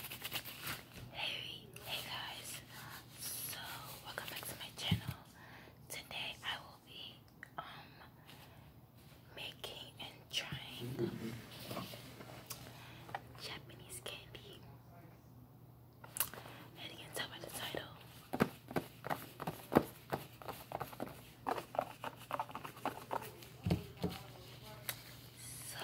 Hey, hey guys. So, welcome back to my channel. Today I will be um making and trying Japanese candy. And you can tell by the title. So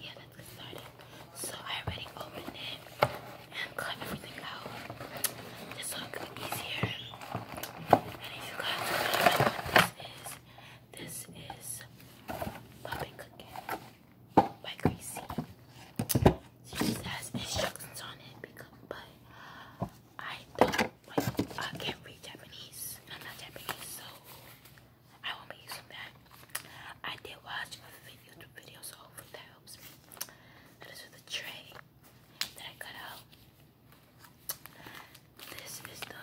yeah, let's get started. So I already opened it and cut everything out. This so it could be easier. And if you guys know what this is, this is puppet cooking by Gracie. She just has instructions on it but I don't like I can't read Japanese. I'm not Japanese, so I won't be using that. I did watch a YouTube video, so hopefully that helps me. So this is the tray that I cut out. This is the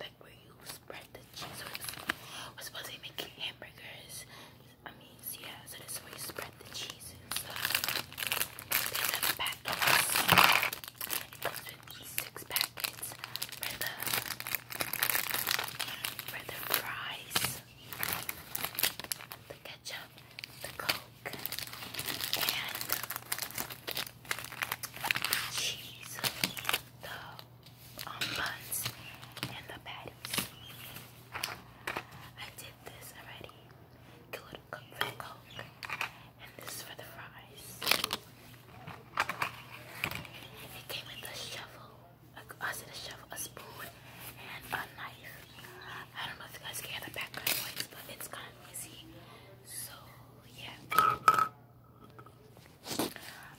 like where you spread the cheese. So we're supposed to be making hamburgers. I mean, so yeah. So this is where you spread the cheese these are six packets for the for the fries, the ketchup, the coke, and cheese, the um, buns, and the patties. I did this already. Good Coke And this is for the fries. It came with a shovel. a spoon, and a knife. I don't know if you guys can hear the background noise, but it's kind of noisy. So, yeah.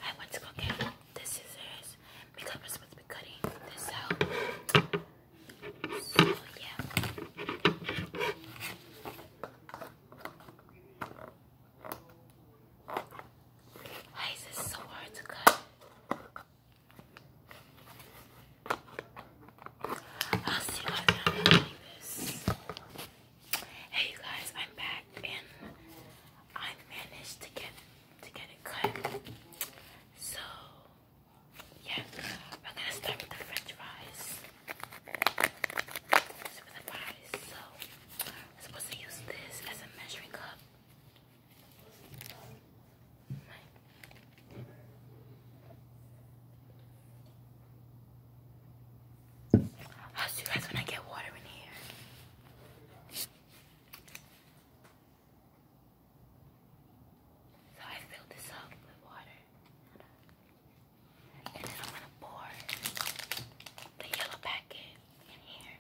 I went to get the scissors because we're supposed to be cutting this out. So yeah. is so hard to cut? I'll see why i Hey you guys, I'm back and I managed to get to get it cut. So yeah, we're gonna start with the french fries. So with so I'm supposed to use this as a measuring cup. Right. How's you guys when I get water in here? So I filled this up with water. And then I'm gonna pour the yellow packet in here.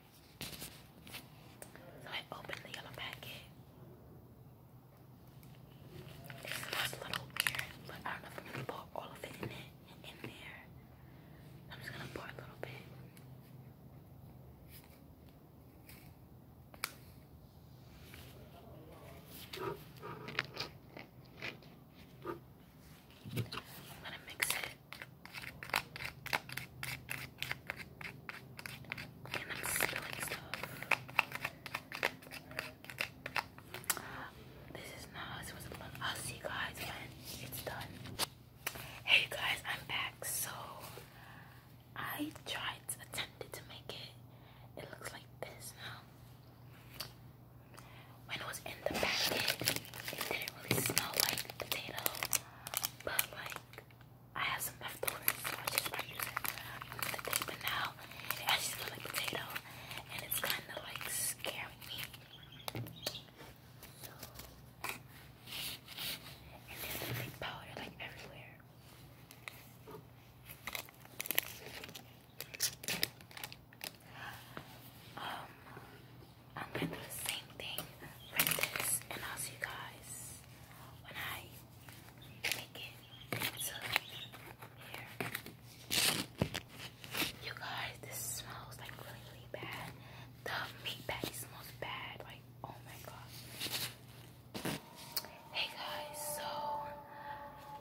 So I open the yellow packet. It a little but I don't know if I'm gonna pour all of it in it in there. I'm just gonna pour a little bit. I'm gonna mix it. And i stuff. This is not how it's supposed I'll see you guys when it's done. Hey guys, I'm back. So I tried attempted to make it. It looks like this now. When it was in the packet, it didn't really smell like potato, but like I have some leftovers, I just might use it But now it smells like potato, and it's kind of like scaring me. And there's like powder like everywhere. Um, I'm gonna do the same thing with this, and I'll see you guys when I make it to here. You guys, this smells like really, bad. The meat patty smells bad right Oh my god! Hey guys, so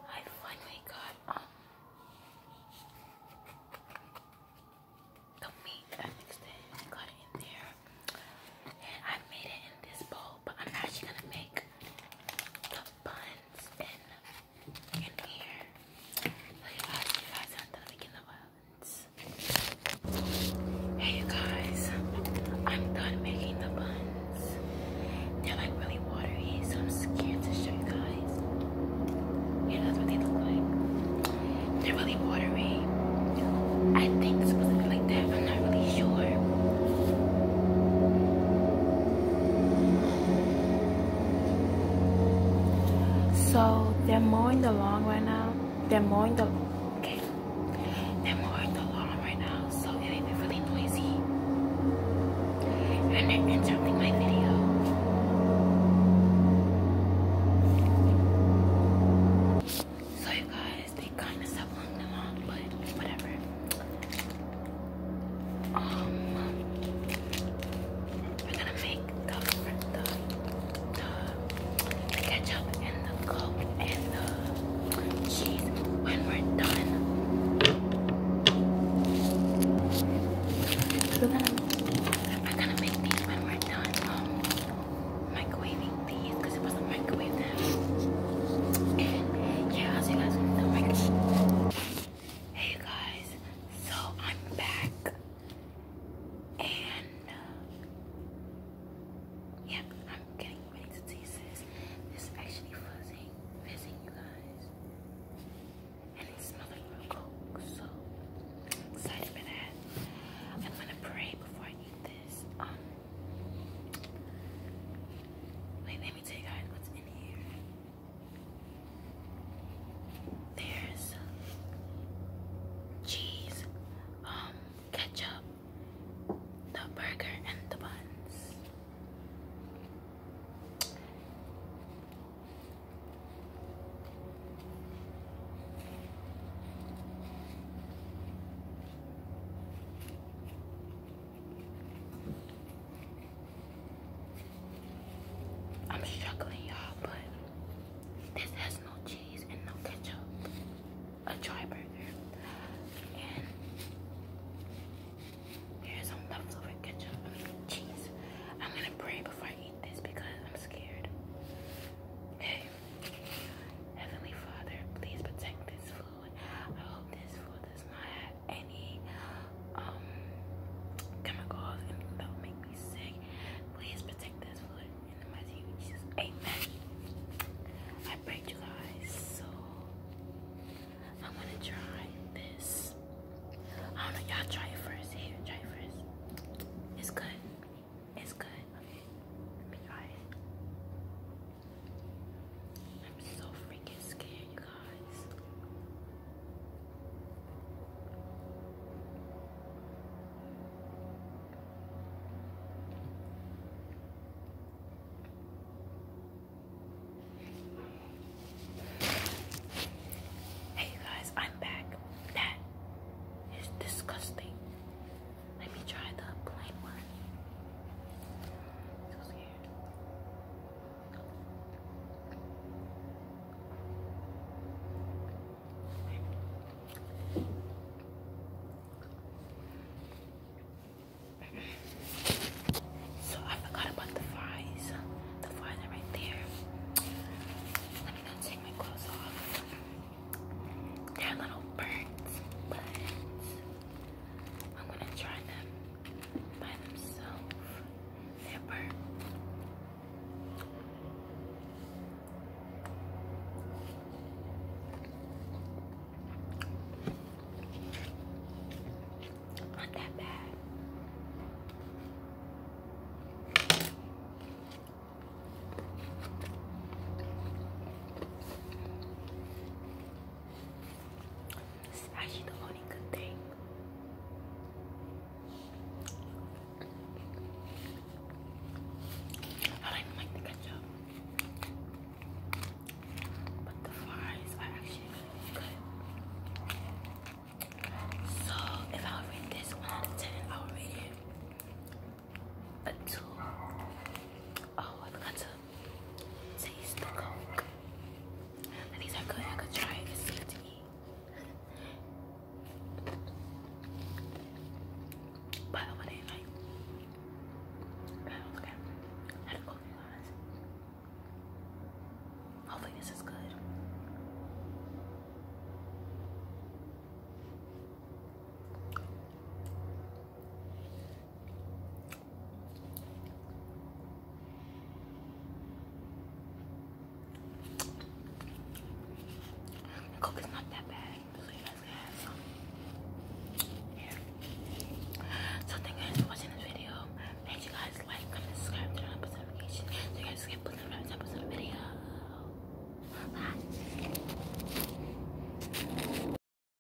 I finally got um, the meat that mixed it got it in there. And I made it in this bowl, but I'm actually gonna make the buns in here. Like guys, you guys have to begin the bun. Hey guys, I'm done making the buns. They're like really watery, so I'm scared to show you guys. Yeah, what they look like. They're really watery. I think it's supposed to be like that, I'm not really sure. So they're mowing the lawn right now. They're mowing the okay. They're mowing the lawn right now, so it ain't really noisy. And they interrupting my video. So you guys, they kinda stopped mowing the but whatever. Um we're gonna make the, ketchup and the coke and the cheese when we're done. are we gonna make these when we're done um, microwaving these because it wasn't microwave them. yeah, i see guys Hey guys, so I'm back. And uh, I'm getting ready to taste this. This is actually fizzing, fizzing, you guys. And it's smelling real good. so I'm excited for that. I'm gonna pray before I eat this. Um, wait, let me tell you guys what's in here. There's cheese, um, ketchup, the burger, and the buns. I'm struggling, y'all, but this has no cheese and no ketchup. A dry burger. here's some leftover ketchup cheese. I'm gonna pray before I eat this because I'm scared. Hey, Heavenly Father, please protect this food. I hope this food does not any um, chemicals, that will make me sick. Please protect this food in the mighty name of I prayed you guys, so I'm gonna try this. I don't know, y'all try it first. Here, try first. It's good. It's good. let me try it. I'm so freaking scared, Hey, guys, I'm back. That is disgusting. Let me try the plain one. So I forgot about the fries. The fries are right there. Let me not take my clothes off. They're a little burnt, but I'm gonna try them by themselves. Never. Not that bad. It's actually the only good thing. I don't even like the ketchup. But the fries are actually really good. So if I rate this 1 out of 10, I would rate it a 2. Oh, I forgot to Taste the coke. these are good. I could try It's good to eat. But I would I don't forget. I had to Hopefully, this is good. Coke is not that bad, so thank you guys for watching this video. Make sure you guys like, comment, subscribe, turn on post notifications so you guys get post notifications episode of the video. Bye.